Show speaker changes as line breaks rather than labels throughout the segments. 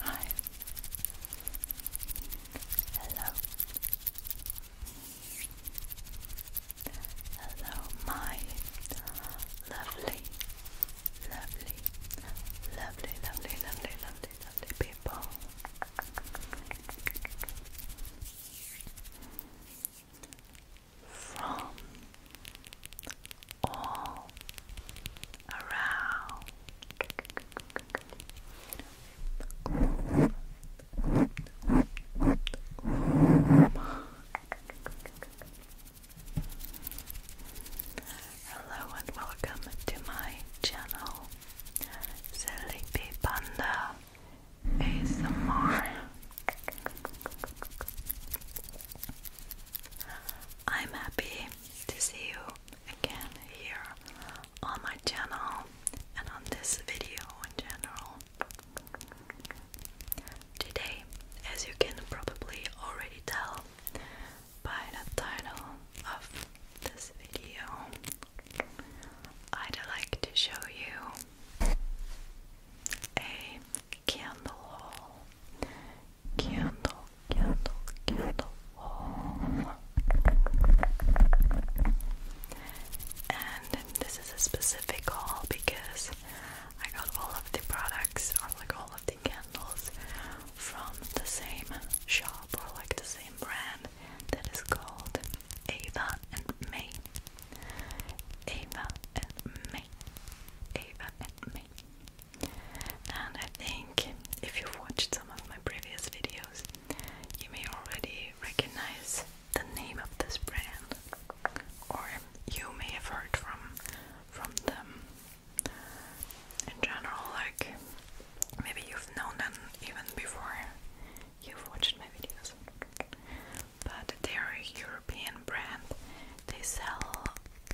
Hi. Hello. Hello, my lovely, lovely, lovely, lovely, lovely, lovely, lovely people from all around. Hello and welcome to my channel, Sleepy Panda ASMR. I'm happy to see you again here on my channel and on this video in general. Today, as you can probably already tell by the title of this video, I'd like to show you a candle haul. Candle, candle, candle haul. And this is a specific haul because I got all of the products or like all of the candles from the same shop or like the same brand that is called Ava and May. Ava and May me, me. And I think if you've watched some of my previous videos, you may already recognize the name of this brand, or you may have heard from from them. In general, like maybe you've known them even before you've watched my videos but they're a European brand. They sell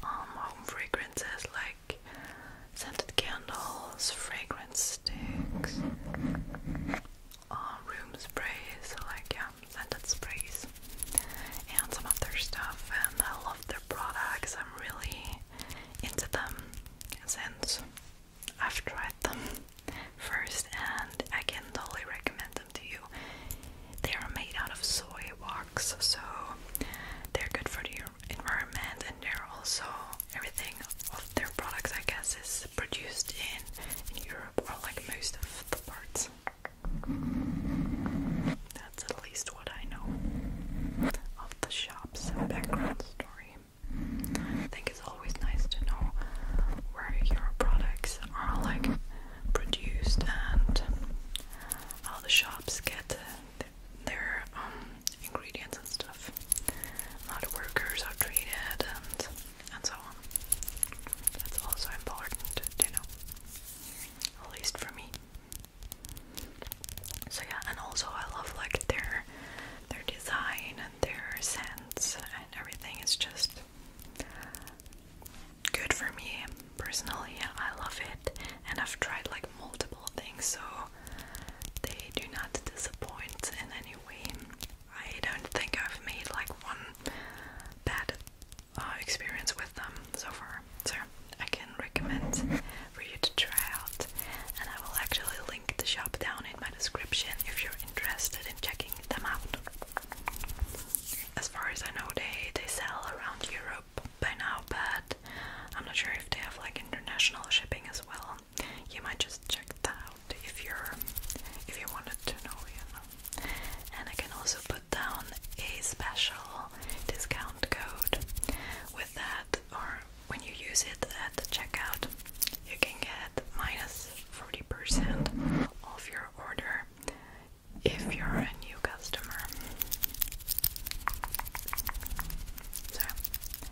um, home fragrances like scented candles, fragrance sticks, uh, room sprays, like yeah, um, scented sprays, and some other stuff. And I love their products. I'm really into them since I've tried them first, and I can totally recommend to you. They are made out of soy wax, so they're good for the environment, and they're also everything of their products, I guess, is produced in Europe or like most of the parts. That's at least what I know of the shop's background story. I think it's always nice to know where your products are like produced and how the shops get their um, ingredients and stuff, how the workers are treated, and and so on. That's also important to know, at least for me. So yeah, and also I love like their their design and their scents and everything. It's just good for me personally. I love it, and I've tried like multiple things, so they do not disappoint in any way. I don't think I've made like one bad uh, experience with them so far, so I can recommend for you to try out. And I will actually link the shop down in my description if you're interested in checking them out. As far as I know, they they sell around Europe by now, but I'm not sure if they have like international shipping as well. You might just check that out if you're if you wanted to know, And I can also put down a special discount code with that, or when you use it at the checkout, you can get minus 40% of your order if you're a new customer. So,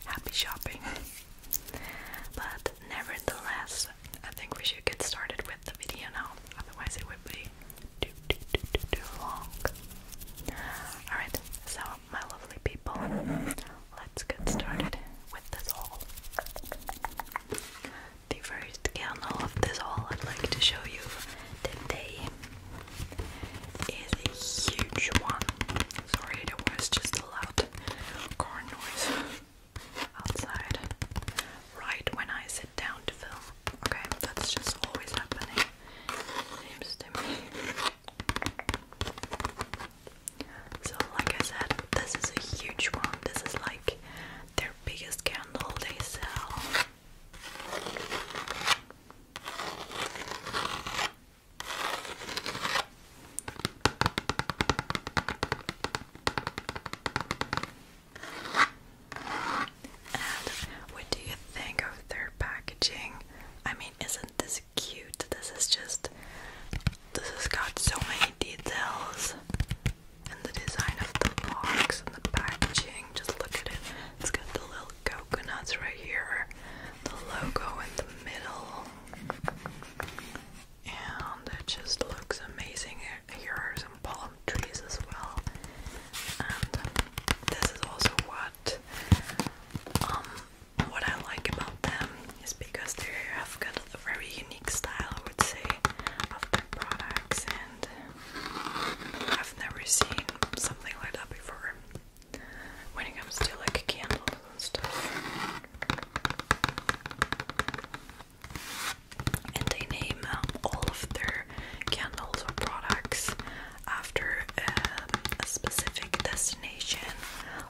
happy shopping. But nevertheless, I think we should get started with the video now, otherwise, it would be too, too, too, too, too long. Alright, so, my lovely people, let's get started with this haul the first candle of this haul I'd like to show you today is a huge one. Sorry, it was just a loud car noise outside right when I sit down to film. Okay, that's just always happening, seems to me. So, like I said, this is a huge one. This is like their biggest candle they sell. what do you think of their packaging? I mean, isn't this cute? This is just. This has got so many details and the design of the box and the packaging. Just look at it. It's got the little coconuts right here, the logo in the middle, and it just looks amazing. Here are some palm trees as well, and this is also what um what I like about them is because they have got a very unique style, I would say, of their products, and I've never seen something like that before when it comes to like candles and stuff. And they name um, all of their candles or products after um, a specific destination.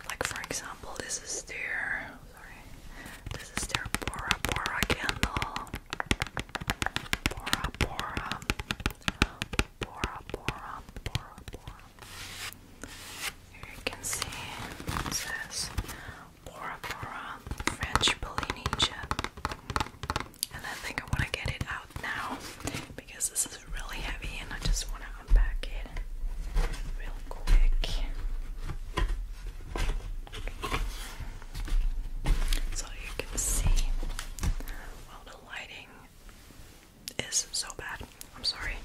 Like, for example, this is their sorry. This is their Bora Bora candle. Bora Bora. Bora Bora. Here you can see it says Bora Bora French Polynesia. And I think I want to get it out now because this is really heavy and I just want to unpack it real quick. So you can see, well, the lighting is so bad. I'm sorry,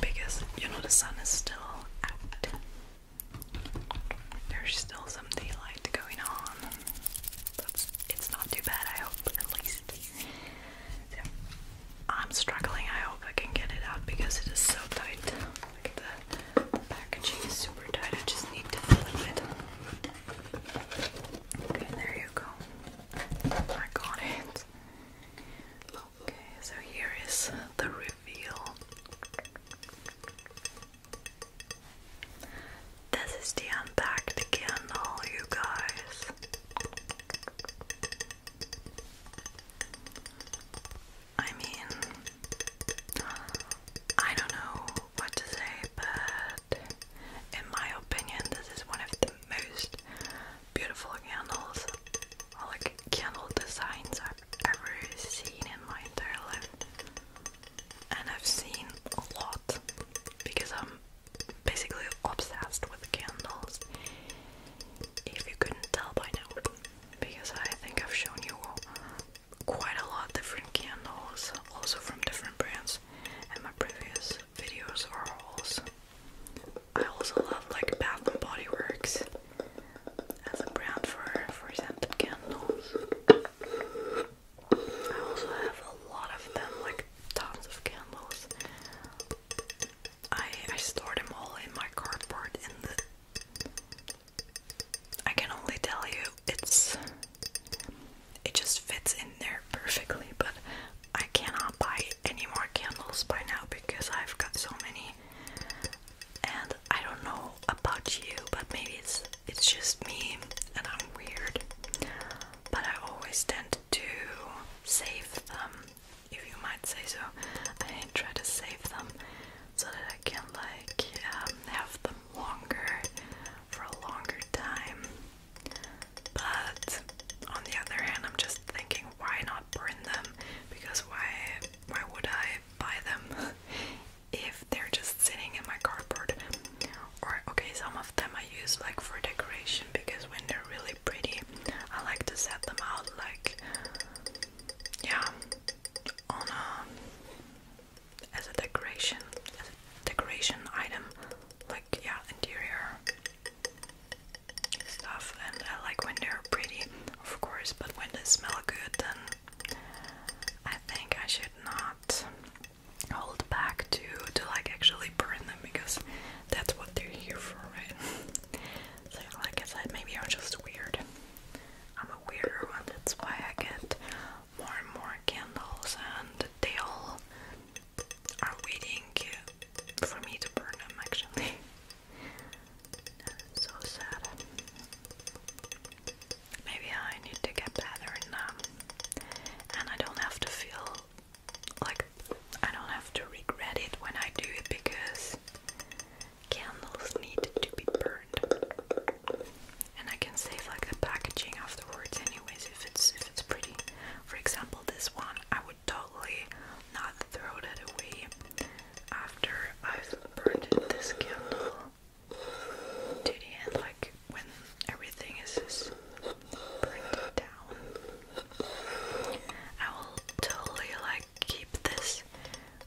because you know the sun is still out. There's still some daylight going on. it's not too bad, I hope, at least. I'm struggling. I hope I can get it out because it is so tight the packaging is super tight. I just need to flip it. Okay, there you go. I got it. Okay, so here is the reveal. This is the unpacked candle, you guys. I mean, I don't know what to say, but in my opinion, this is one of the most beautiful candles like candle designs I've ever seen in my entire life. And I've seen a lot because I'm basically obsessed with candles. If you couldn't tell by now because I think I've shown you quite a lot different candles, also from different brands, in my previous videos I also love like Bath and Body Works as a brand for for scented candles. I also have a lot of them, like tons of candles. I I store them all in my cardboard in the I can only tell you it's it just fits in there perfectly, but I cannot buy any more candles by now because I've got so many and I don't know about you, but maybe it's it's just me and I'm weird. But I always tend to save them if you might say so. I try to save them so that I can like um, have them longer for a longer time. But on the other hand, I'm just thinking, why not burn them? Because why why would I buy them if they're just sitting in my cardboard? Or okay, some of them I use like for decoration because when they're really pretty, I like to set them out like yeah, on a um, as a decoration, decoration item, like yeah, interior stuff. And I like when they're pretty, of course, but when they smell good, then I think I should not hold back to to like actually burn them because that's what they're here for, right? So, like I said, maybe I'm just weird. I'm a weirder one, that's why I get more and more candles, and they all are waiting for me to burn them actually. that is so sad. Maybe I need to get better and um, and I don't have to feel like I don't have to regret it when I do it because candles need to be burned. And I can save like the packaging afterwards anyways if it's if it's pretty. For example this one I would totally not throw that away after I've burned this candle to the end like when everything is just burned down. I will totally like keep this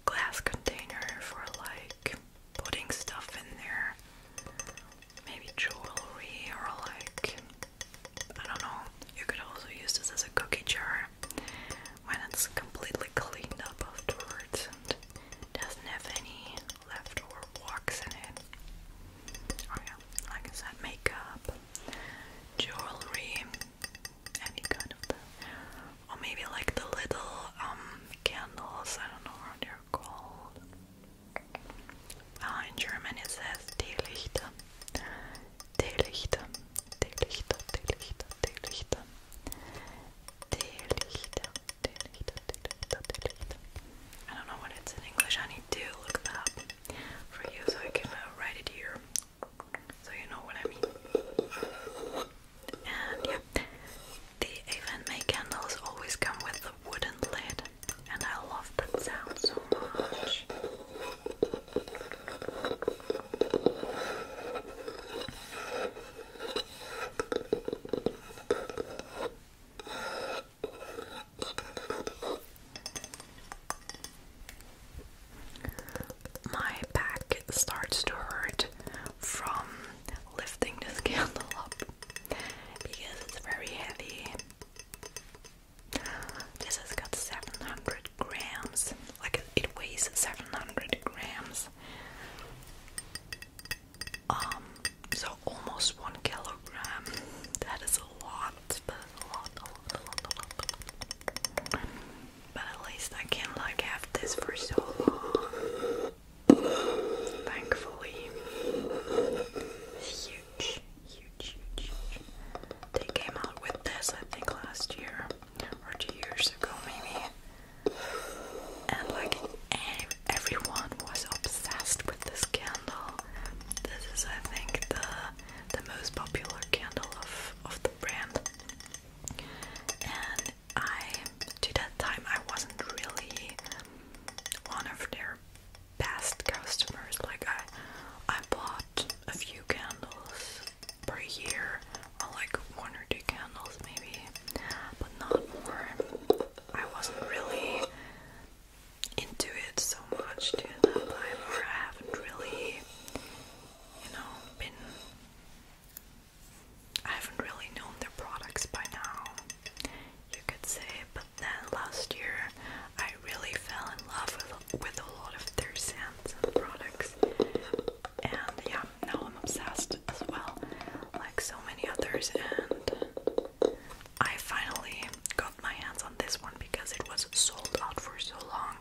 glass container for like putting stuff in there. Maybe jewelry or like I don't know. You could also use this as a cookie jar when it's completely cleaned up afterwards and doesn't have any leftover wax in it. Oh yeah, like I said, makeup, jewelry, have you Or maybe like the little um, candles, I don't know what they're called. Ah, in German it says Teelichter. Teelichter. Teelichter, Teelichter, Teelichter. Teelichter, Teelichter, Teelichter, I don't know what it's in English. I need to look that up for you so I can uh, write it here so you know what I mean. And yeah, the Avon May candles always come with the wooden lid, and I love that sound so much. My back starts to hurt from lifting this candle up because it's very heavy. This has got 700 grams, like it weighs 700 grams. Um, so almost one kilogram. That is a lot, a lot, a lot, a lot. But at least I can like have this for so long. Thankfully. Huge, huge, huge, They came out with this I think last year or two years ago maybe. And like everyone was obsessed with this candle. This is I think the the most popular candle of of, the brand. And I, to that time, I wasn't really one of their best customers. Like I, I bought a few candles per year, like one or two candles maybe, but not more. I wasn't really into it so much I haven't really you know, been. I haven't really known their products by now, you could say, but then last year I really fell in love with, with a lot of their scents and products, and yeah, now I'm obsessed as well, like so many others. And I finally got my hands on this one because it was sold out for so long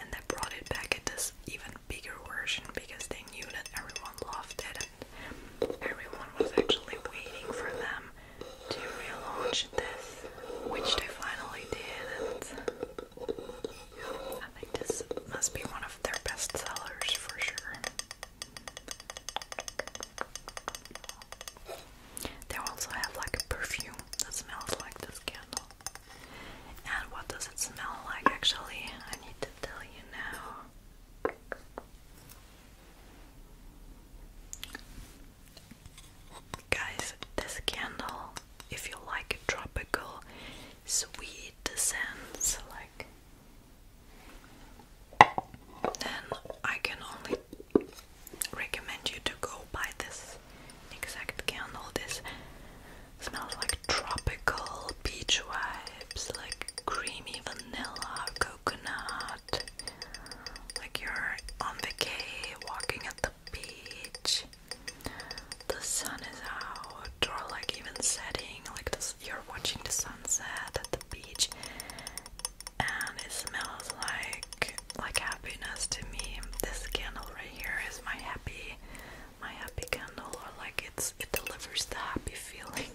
and they brought it back at this even bigger version because they knew that everyone loved it and everyone was actually waiting for them to relaunch this, which they finally did. And this must be one of their best sellers for sure. They also have like a perfume that smells like this candle. And what does it smell like actually? I need to tell you now. Guys, this candle, if you like tropical, sweet scents, like, then I can only recommend you to go buy this exact candle. This smells like tropical beach vibes, like creamy vanilla, coconut. Like you're on vacay, walking at the beach. The sun is out, or like even setting, like you're watching the sunset at the beach, and it smells like like happiness to me. This candle right here is my happy my happy candle or like it's it delivers the happy feeling.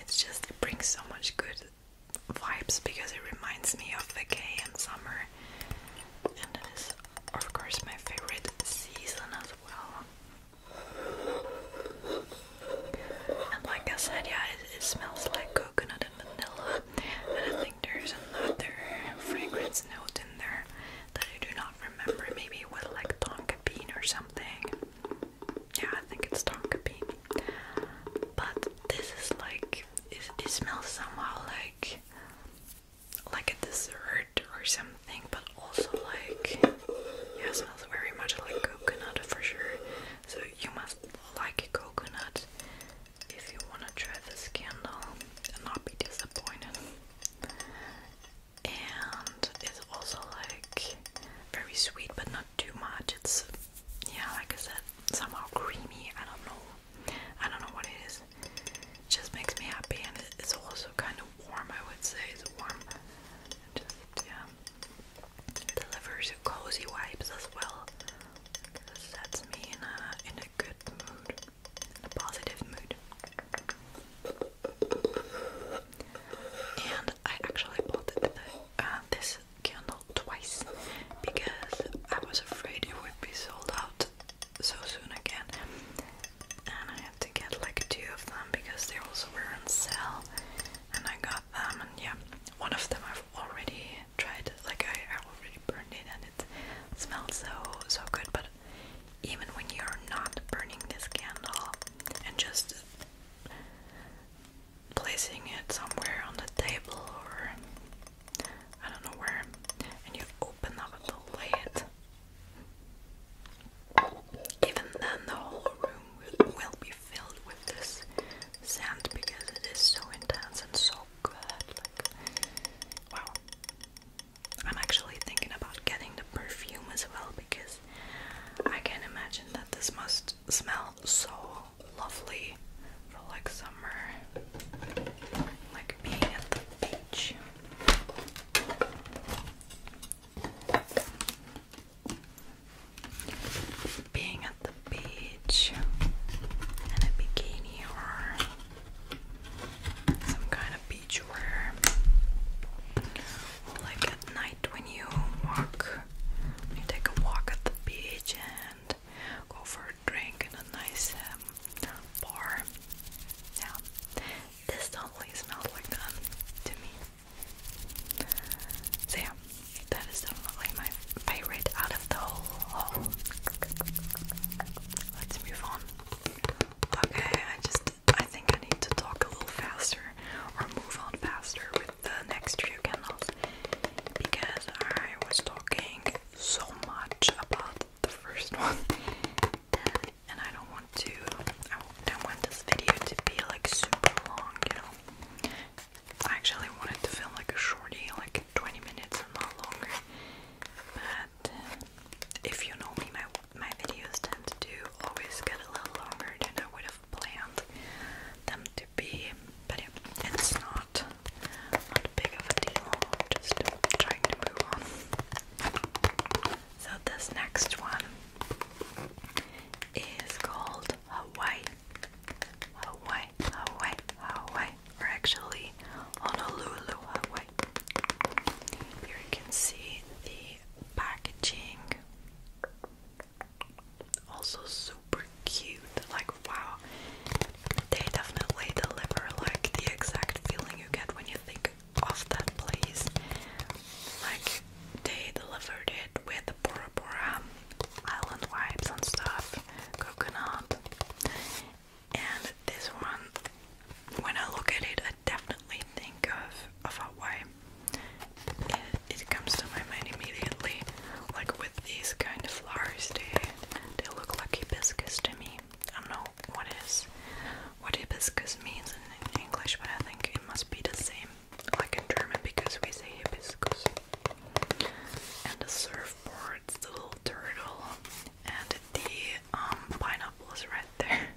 It just brings so much good vibes because it reminds me of the vacay and summer. And of course my favorite season as well. And like I said, yeah, it smells like good coconut and vanilla. And I think there's another fragrance note in there that I do not remember. Maybe with like tonka bean or something. Yeah, I think it's tonka bean. But this is like it, smells somehow like like a dessert or something, but also like yeah, smells very much like coconut for sure. So you must like coconut if you want to try this candle and not be disappointed. And it's also like very sweet, but not too much. It's yeah, like I said, somehow creamy. I don't know. I don't know what it is. It just makes me happy, and it's also kind of warm. I would say it's warm. just yeah, delivers cozy vibes as well. This sets me in a, in a good mood, in a positive mood. And I actually bought the, uh, this candle twice because I was afraid it would be sold out so soon again. And I had to get like two of them because they also were on sale. And I got them, and yeah, one of them I've already tried it, like I, already burned it and it smells so so good but even when you're not burning this candle and just placing it somewhere on the table or I don't know where and you open up the lid even then the whole room will be filled with this scent because it is so intense and so wow. I'm actually thinking about getting the perfume as well because I can imagine that this must smell so lovely for like summer, like being at the beach. Being at beach and a bikini or some kind of beach like at night when you walk, you take a walk at the beach and go for a drink in a nice um, bar. Yeah, this totally smells like that to me. So yeah, that is definitely my favorite out of the whole Let's move on. Okay, I just I think I need to talk a little faster or move on faster with the next few candles because I was talking so much about the first one and I don't want to I don't want this video to be like super long, you know. I actually wanted to film like a shorty, like 20 minutes or not longer. But uh, if you know me, my my videos tend to always get a little longer than I would have planned them to be. But yeah, it's not not big of a deal. just trying to move on. So this next one is called Hawaii Hawaii, Hawaii, Hawaii, or actually Honolulu, Hawaii. Here you can see the packaging. Also super cute. Like wow. They definitely deliver like the exact feeling you get when you think of that place. Like they delivered it with the Bora Bora island vibes and stuff coconut. And this one, when I look at it, I definitely think of, of Hawaii. It, it comes to my mind immediately, like with these kind of flowers. They they look like hibiscus to me. I don't know what is what hibiscus means in English, but I think it must be the same, like in German, because we say hibiscus and the surfboards, the little turtle, and the um, pineapples right there.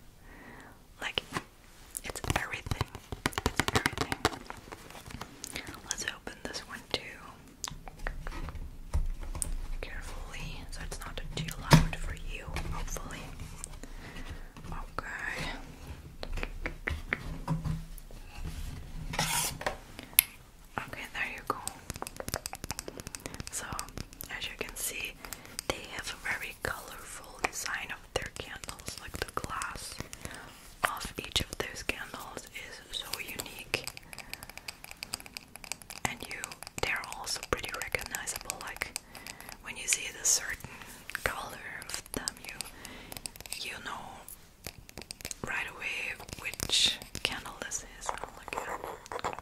Like, it's everything. It's everything. Let's open this one too. Carefully, so it's not too loud for you, hopefully. Okay. Okay, there you go. So, as you can see, they have a very colorful design of their candles, like the glass of each of those candles is so unique. And you they're also pretty recognizable, like when you see the certain color of them you you know right away which candle this is. I'll look at it.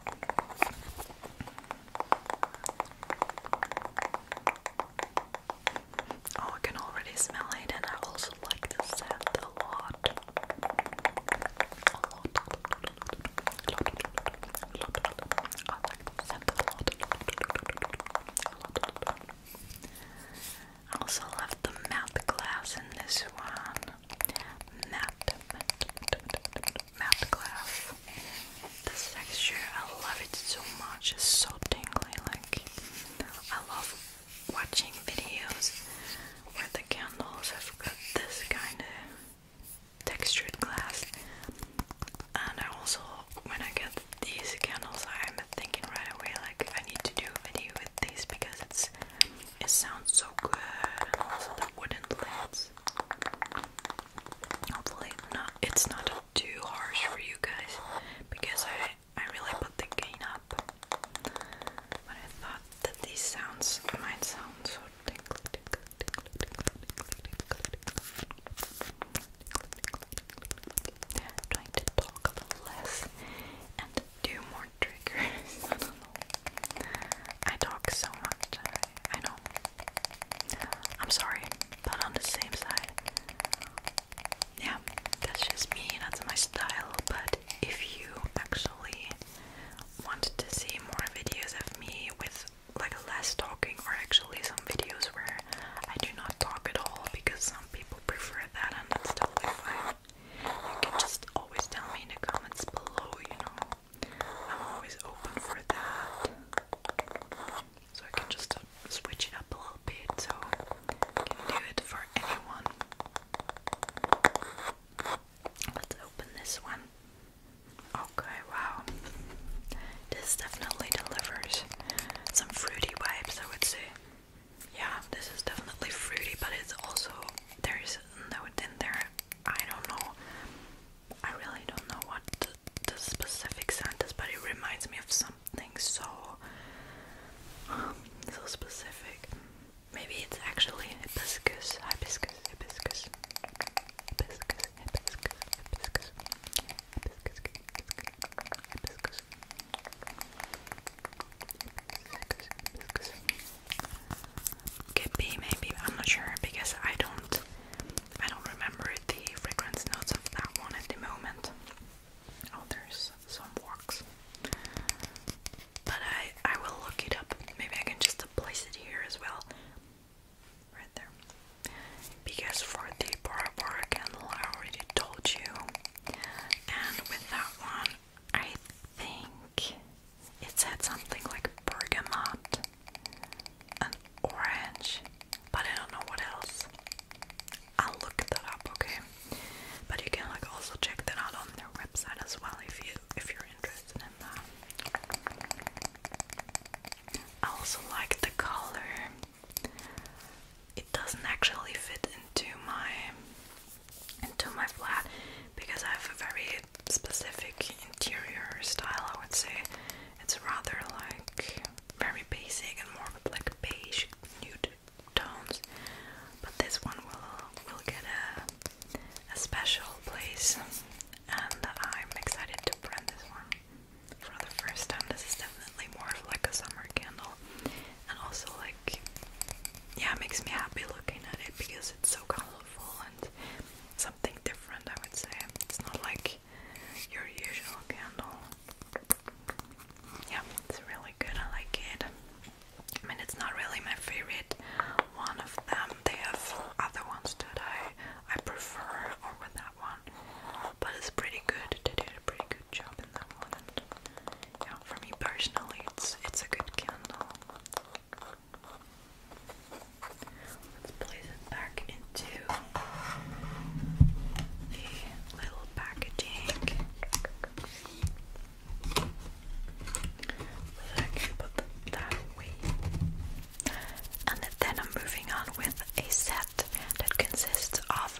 Oh, I can already smell it, and I also like the scent A lot. I also love the mouth glass in this one. Math, math class. texture, I love it so much. so tingly. Like I love watching videos where the candles have got this kind of textured glass. And I also, when I get these candles, I'm thinking right away like I need to do a video with these because it's it sounds so good. the wooden lids. Hopefully not it's not too harsh for you guys because I I really put the gain up. But I thought that these sounds might sound so tinkly tinkly Trying to talk less and do more more I talk so much. I know. I'm sorry, but on the same side, yeah, that's just me. That's my style. But if you actually wanted to see more videos of me with like less talking, or actually some videos where I do not talk at all, because some people prefer that, and that's totally fine you can just always tell me in the comments below, you know. I'm always open for that. So I can just uh, switch it up a little bit so I can do it for anyone. Let's open this one. Okay, wow. This definitely delivers some fruity vibes, I would say yeah, this is definitely fruity, but it's also there is no. note there. I don't know. I really don't know what the, specific scent is, but it reminds me of something so um, so specific. Maybe it's actually hibiscus, hibiscus, hibiscus, hibiscus, hibiscus, hibiscus, hibiscus, hibiscus, could be maybe I'm not sure because I don't I don't remember the fragrance notes of that one at the moment. Oh, there's some walks, but I I will look it up. Maybe I can just place it here as well, right there. Because for the Bora candle, I already told you, and with that one, I think it said something like bergamot and orange, but I don't know what else. I'll look that up, okay? But you can like also check that out on their website as well if you if you're interested in that. I also like the color it doesn't actually fit into my into my flat because I have a very specific interior style I would say it's rather like very basic and more like beige nude tones but this one will will get a a special place and I'm excited to burn this one for the first time this is definitely more of like a summer candle and also like yeah it makes me happy looking at it because it's so colorful and something different I would say it's not like your usual candle yeah it's really good I like it I mean it's not really my favorite one of them they have other ones that I I prefer over that one but it's pretty good they did a pretty good job for me personally, it's it's a good candle. Let's place it back into the little packaging. So I put that away. And then I'm moving on with a set that consists of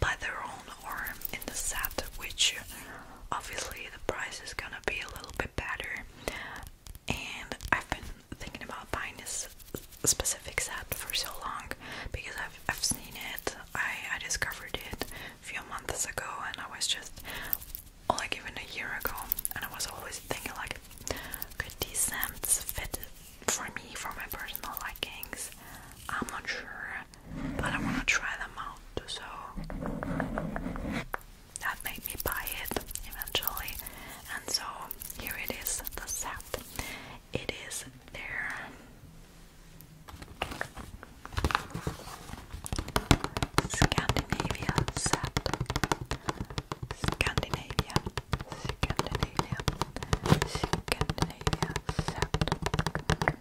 by their own arm in the set, which obviously the price is gonna be a little bit better. And I've been thinking about buying this specific set for so long because I've I've seen it. I, I discovered it a few months ago, and I was just like even a year ago, and I was always thinking like, could these scents fit for me for my personal likings? I'm not sure but I want to try them out, so that made me buy it eventually. And so here it is the set. It is their Scandinavia set. Scandinavia, Scandinavia, Scandinavia set. And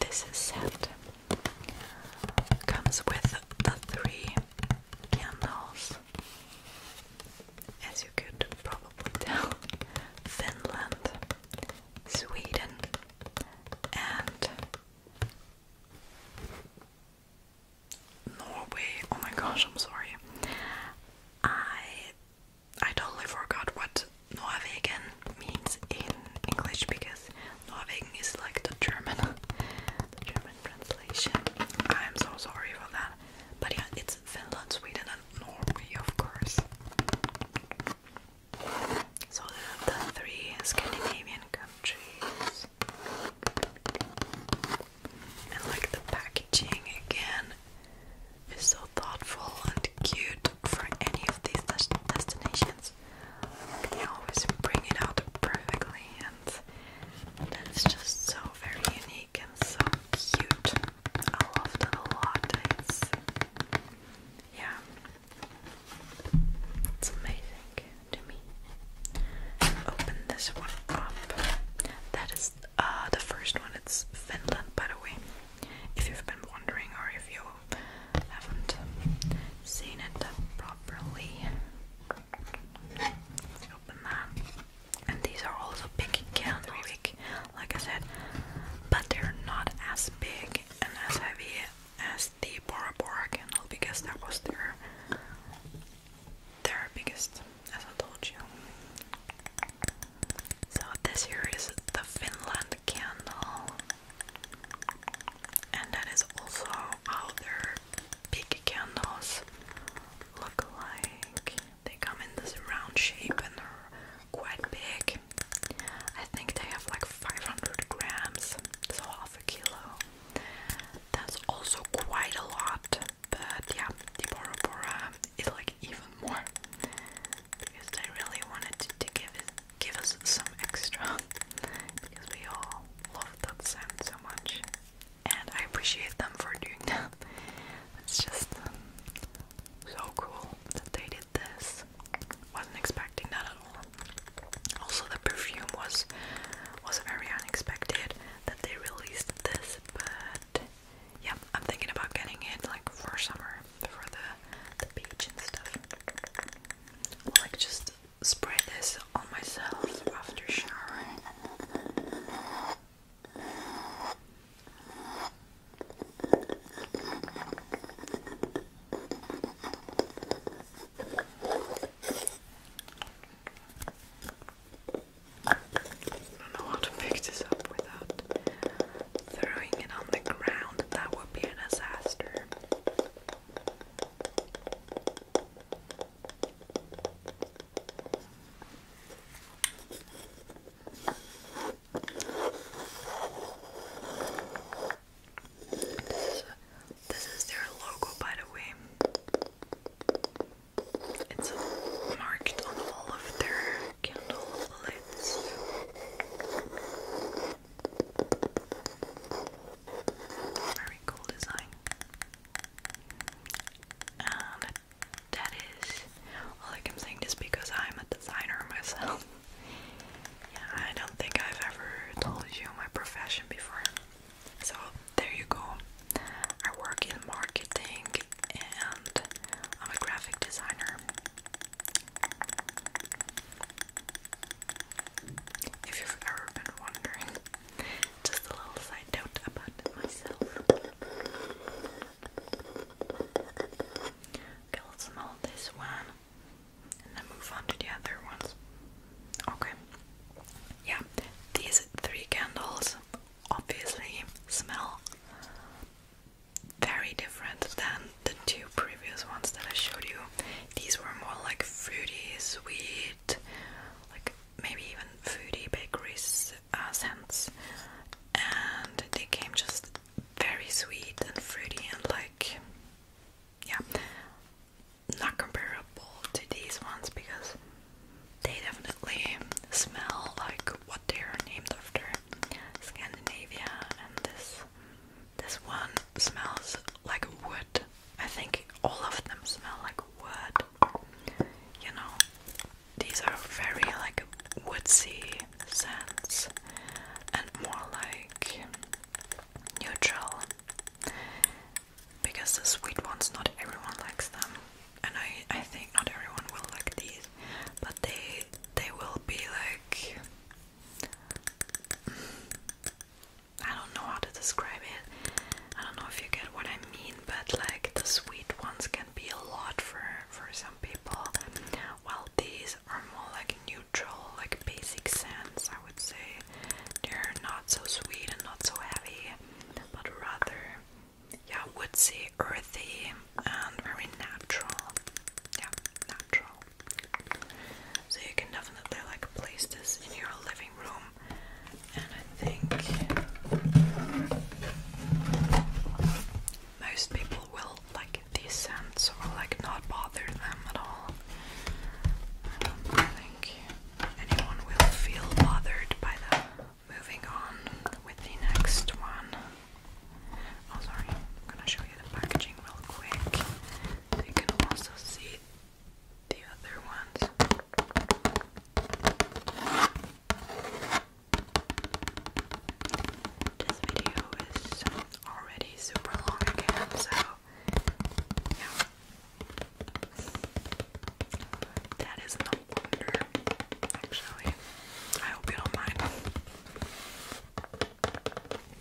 this set comes with the three candles, as you could probably tell Finland, Sweden, and Norway. Oh my gosh, I'm sorry. I I totally forgot what Norwegen means in English because Norwegen is like the German the German translation. I'm so sorry for that. But yeah, it's Finland, Sweden and Norway of course. So the three Scandinavian countries. And like the packaging again is so thoughtful and cute for any of these destinations. They always bring it out perfectly and that's just so very unique and so cute. I loved it a lot. yeah, it's amazing to me. Open this one up. That is uh, the first one. It's Finland, by the way. If you've been wondering or if you haven't seen it properly, open that. And these are also big candles, like I said, but they're not as big and as heavy as the Bora Bora canal because that was their their biggest, as I told you. So this here is the Finland candle, and that is also out there. big candles look like. They come in this round shape and are quite big. I think they have like 500 grams, so half a kilo. That's also quite a lot, but yeah, the Bora Bora like even more because they really wanted to, give give us some extra because we all love that scent so much, and I appreciate them for doing that. It's just so cool that they did with this. Wasn't expecting that at all. Also, the perfume was was very unexpected that they released this, but yeah, I'm thinking about getting it like for summer, for the the beach and stuff. Like just spray this on myself after showering don't know how to pick this up without throwing it on the ground. That would be a disaster. This is, their logo, by the way. It's marked on all of their candle lids. Very cool design. And that is, well, I'm saying this because I'm a designer myself. I don't think I've ever told you my profession before. So, there you go. I work in marketing and I'm a graphic designer. If you've ever been wondering, just a little side note about myself. let's smell this one and then move on to the other ones. Okay. Yeah, these three candles obviously smell very different than the two previous ones that I showed you. These were more like fruity, sweet, like maybe even fruity bakeries uh, scents, and they came just very sweet and fruity and like yeah, not comparable to these ones because they definitely smell like what they're named after Scandinavia, and this this one smells like wood. I think all of them smell like wood. You know, these are very like woodsy scents and more like neutral because the sweet ones not everyone likes them and I, I think not everyone will like these but they they will be like I don't know how to describe it I don't know if you get what I mean but like the sweet ones can be a lot for for some people Well, these are more like neutral, like basic scents, I would say. They're not so sweet and not so heavy, but rather, yeah, woodsy, earthy, and very natural. Yeah, natural. So you can definitely like place this in your living room, and I think most people will like these scents or like not bother them at all. I don't think anyone will feel bothered by them. Moving on with the next one. Oh, sorry, I'm gonna show you the packaging real quick. you can also see the other ones. This video is already super long again, so yeah. That is no wonder, actually. I hope you don't mind.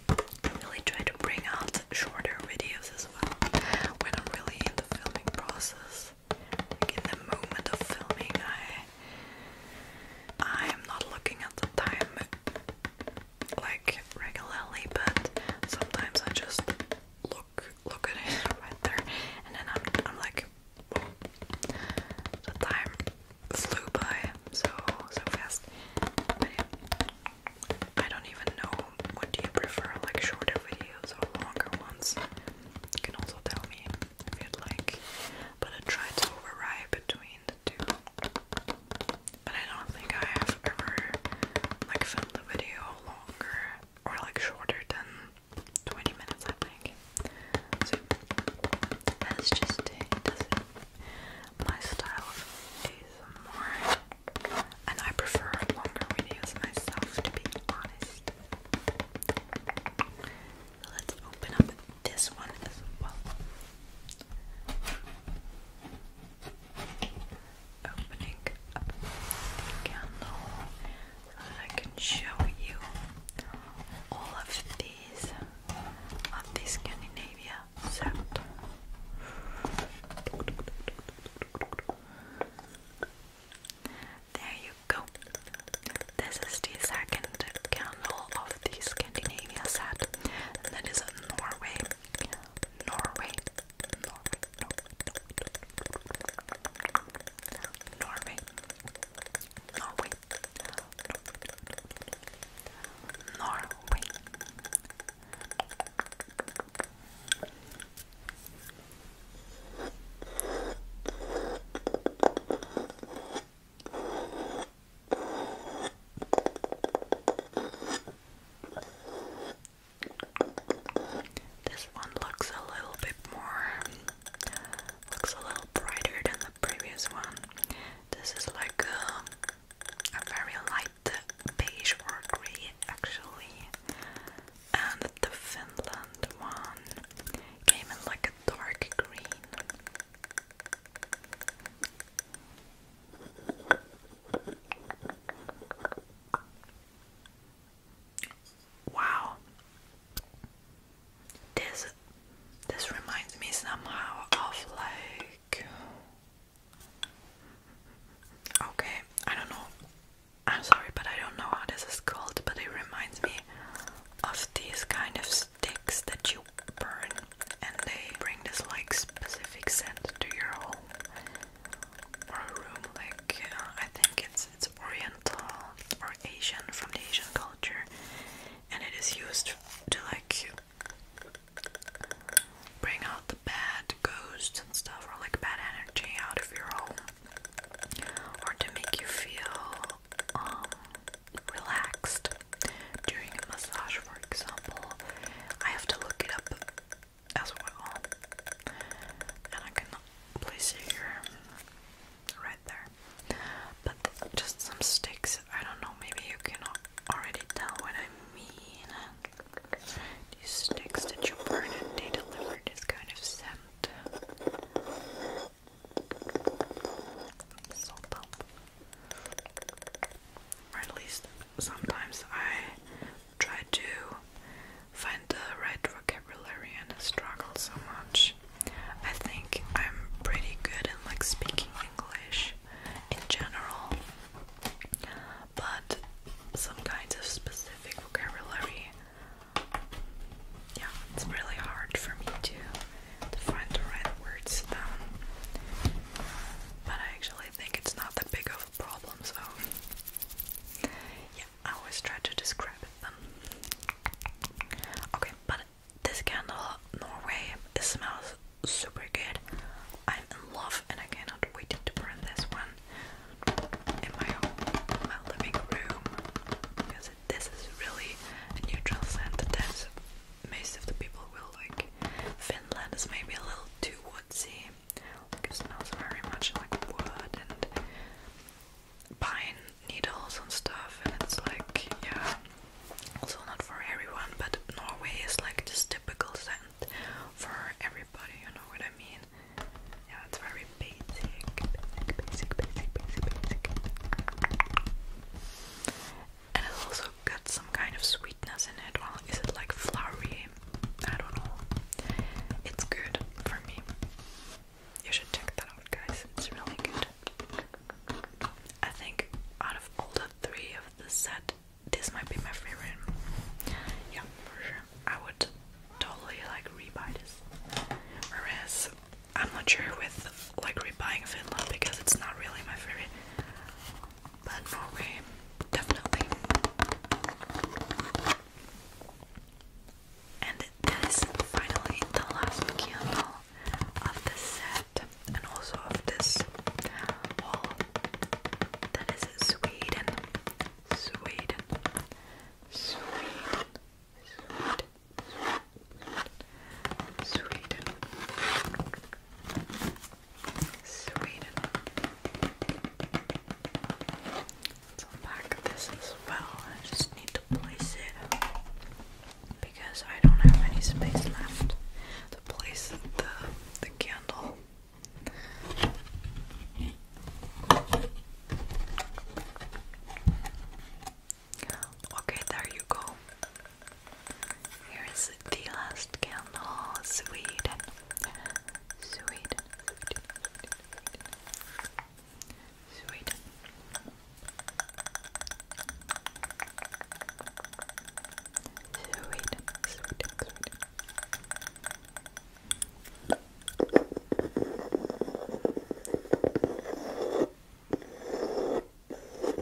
I really try to bring out shorter videos as well when I'm really in the filming process. in the moment of filming, I I'm not looking at the time like regularly, but sometimes I just look look at it right there, and then I'm I'm like, the time flew by so so fast. I don't even know what you prefer, like shorter videos or longer ones. You can also tell me if you like, but I try to override between the two. But I don't think I have ever like filmed a video longer or like shorter than 20 minutes I think. that's just My style And I prefer longer videos myself to be honest. Let's open up this one as well. Opening the candle so that I can show you all of these of the Scandinavia set. There you go. This is the second candle of the Scandinavia set, that is Norway, Norway, Norway, Norway. Norway. Norway. This one looks a little bit more, looks a little brighter than the previous one. This is like a, very light beige or grey, actually. And the Finland one came in like a dark green. Wow. This this reminds me somehow of like Okay, I don't know. I'm sorry, but I don't know how this is called, but it reminds me of these kind of sticks that you burn and they bring this like specific scent to your home or room like uh, I think it's it's oriental or Asian from the Asian culture and it is used to like bring out the bad ghosts and stuff or like bad energy out of your home or to make you feel um, relaxed during a massage, for example, I have to look it up as well, and I can place it here, um, right there. But just some sticks. I don't know. Maybe you can already tell what I mean. These sticks that you burn and they deliver this kind of scent. Salt at least sometimes I try to find the right vocabulary and struggle so much. I think I'm pretty good in like speaking English in general, but some kinds of specific vocabulary, yeah, it's really hard for me to the front or outwards down. But I actually think it's not that big of a problem, so yeah, I always try to describe it Okay, but this candle, Norway, it smells super good. I'm in love and I cannot wait to burn this one in my my living room, because this is really a neutral scent most of the people will like Finland is maybe a little too woodsy. Like it smells very much like wood and pine needles and stuff and it's like yeah also not for everyone but Norway is like this typical scent for everybody, you know what I mean? Yeah, it's very basic, basic, basic, basic, basic, basic and it also got some kind of sweetness in it. Well, is it like flowery? I don't know. It's good for me. You should check that out, guys. It's really good. I think out of all the three of the set, this might be my favorite. Yeah, for sure. I would totally like rebuy this. Whereas I'm not sure with like repaying Finland because it's not really my favorite. But Norway, definitely. And that is finally the last candle of this set and also of this haul. That is Sweden. Sweden. Sweden. Sweden, Sweden. Let's unpack this as well. I just need to place it because I don't have any space left to place the the candle. Okay, there you go. Here is the last candle, Sweden. Sweden. Sweden. Sweden. Sweden. And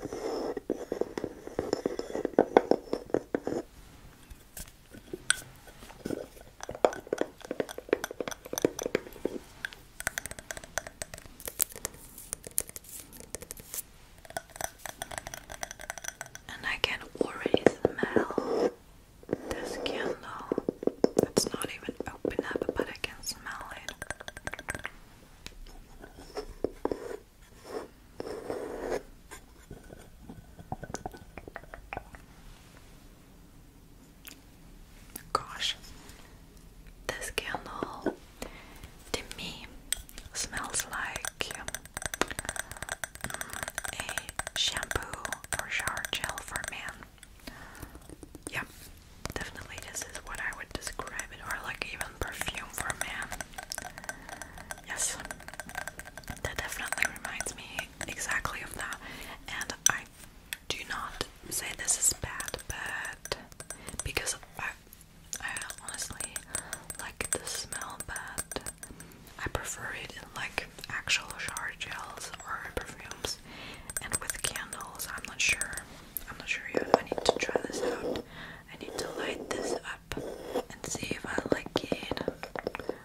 I can already smell this candle. It's not even open up, but I can smell it. Gosh, this candle to me smells like mm, a shampoo shower gel for men. Yeah, Definitely, this is what I would describe it, or like even perfume for man. Yes, that definitely reminds me exactly of that. And I do not say this is bad, but because I, I honestly like the smell, but I prefer it in like actual shower gels or perfumes, and with candles, I'm not sure. I'm not sure yet. I need to try this out. I need to light this up and see if I like it.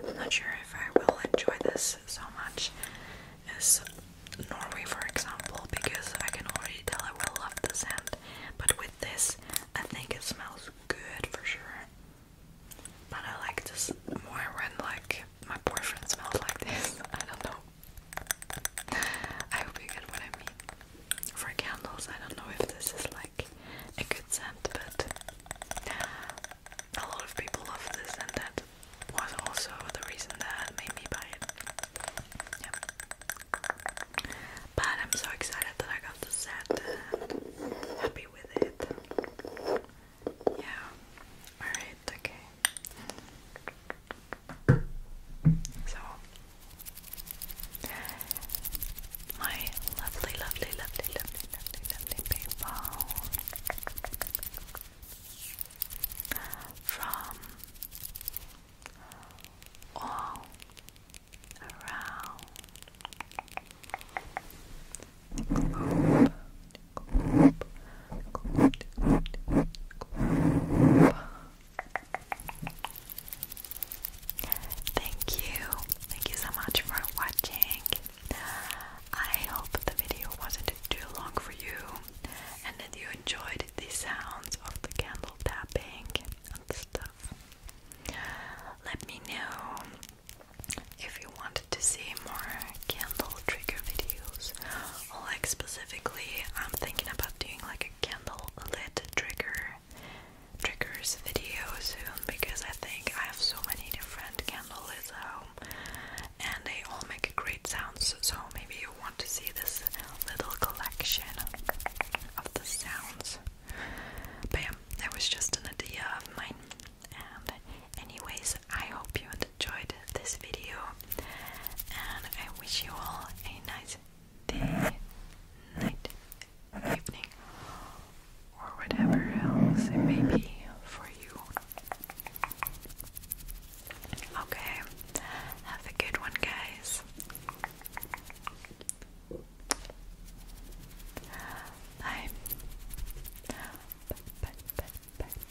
I'm not sure if I will enjoy this so much as Norway, for example, because I can already tell I will love the sand. But with this, I think it smells good for sure. But I like this more when like my boyfriend smells like this. I don't know. I hope you get what I mean. For candles, I don't know if this is like a good scent, but a lot of people love this, and that was also the reason that made me buy it. Yeah. But I'm so excited that I got the set happy with it. Yeah. Alright, okay. So, my lovely, lovely, lovely, lovely, lovely, lovely people from all around Thank you. Thank you so much for watching. I hope the video wasn't too long for you and that you enjoyed the sounds of the candle tapping and stuff. Let me know if you wanted to see more candle trigger videos like specifically, I'm thinking about doing like a candle lit trigger triggers video soon because I think I have so many different candle lits at home and they all make great sounds. So maybe you want to see this little collection of the sounds. Bam! that was just an idea of mine. And anyways, I hope you enjoyed this video, and I wish you all a nice day, night, evening, or whatever else it may be for you. Okay, have a good one, guys.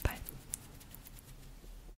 bye.